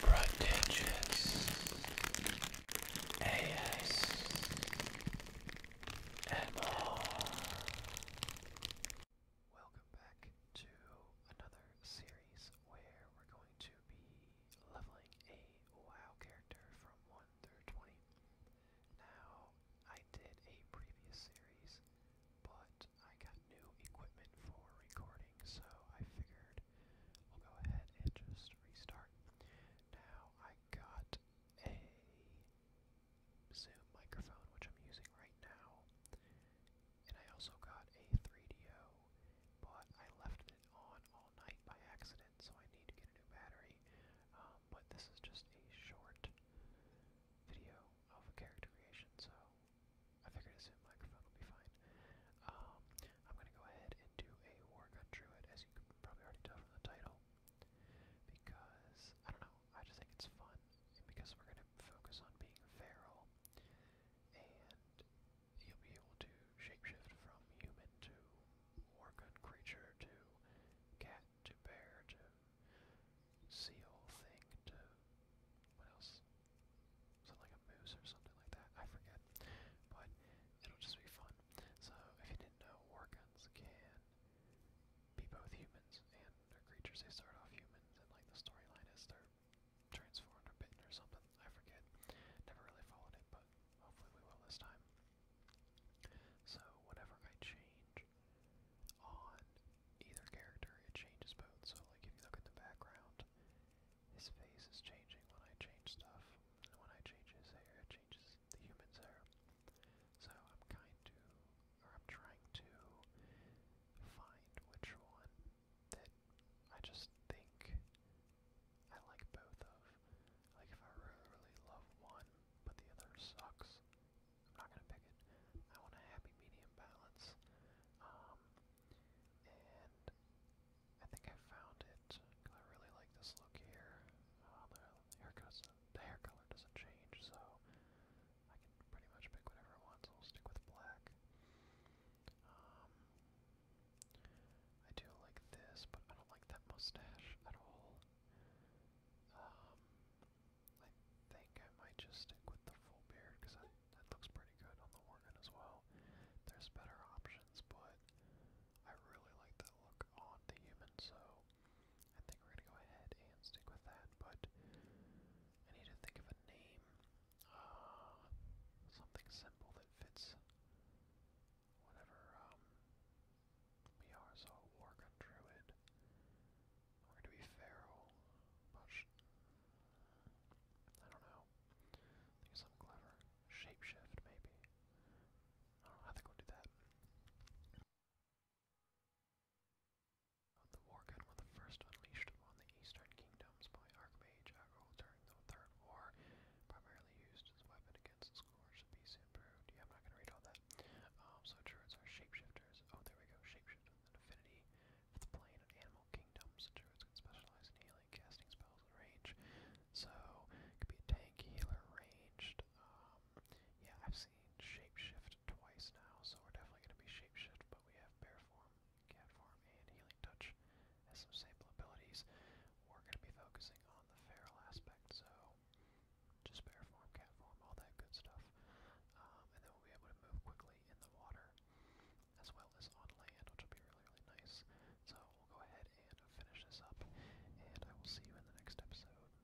Pretentious AS Welcome back to another series where we're going to be leveling a WoW character from 1 through 20. Now, I did a previous series but I got new equipment for recording, so I figured I'll go ahead and just restart. Now, I got a Zoom microphone, which I'm using right now, and I also got a 3DO, but I left it on all night by accident, so I need to get a new battery. Um, but this is just a short video of a character creation, so I figured a Zoom microphone will be fine. Um, I'm going to go ahead and do a Wargun Druid, as you probably already tell from the title, because, I don't know, I just think it's fun, and because we're going to focus on being feral, and you'll be able to shapeshift from human to Wargun creature to cat to bear to seal thing to what else? Something like a moose or something like that. I forget. But it'll just be fun. So if you didn't know, Warguns can be both humans and their creatures. They start off humans and like the storyline is they're transformed or bitten or something. I forget. Never really followed it, but hopefully we will this time. So whenever I change on either character, it changes both. So like if you look at the background, his face is changing when I change stuff, and when I change his hair, it changes the human's hair. So I'm kind to, or I'm trying to find which one that I just think I like both of. Like if I really, love one, but the other sucks, I'm not gonna pick it. I want a happy medium balance. Um, and I think I found it because I really like this look here. Uh, the hair color doesn't change, so I can pretty much pick whatever I want. I'll stick with black. Um, I do like this, but I don't like that mustache at all. Um, I think I might just stick with the full beard because that, that looks pretty good on the organ as well. There's better options, but I really like that look on the human, so I think we're gonna go ahead and stick with that. But I need to think of a name uh, something simple that fits whatever um, we are. So Warg We're going to be feral. Much. I don't know. I think clever. Shapeshift, maybe. I think we'll do that. The war gun were the first unleashed upon the eastern kingdoms by Archmage Agro during the Third War, primarily used as weapon against the scourge of peace improved. Yeah, I'm not gonna read all that. Um, so druids are shapeshifters. Oh, there we go, shapeshifters with an affinity for the plane and animal kingdoms. Druids can specialize in healing, casting spells, and range. So, it could be a tank, healer, ranged. Um, yeah, I've Shape shift twice now, so we're definitely going to be shape shift. but we have bear form, cat form, and healing touch as some sample abilities. We're going to be focusing on the feral aspect, so just bear form, cat form, all that good stuff. Um, and then we'll be able to move quickly in the water as well as on land, which will be really, really nice. So we'll go ahead and finish this up, and I will see you in the next episode.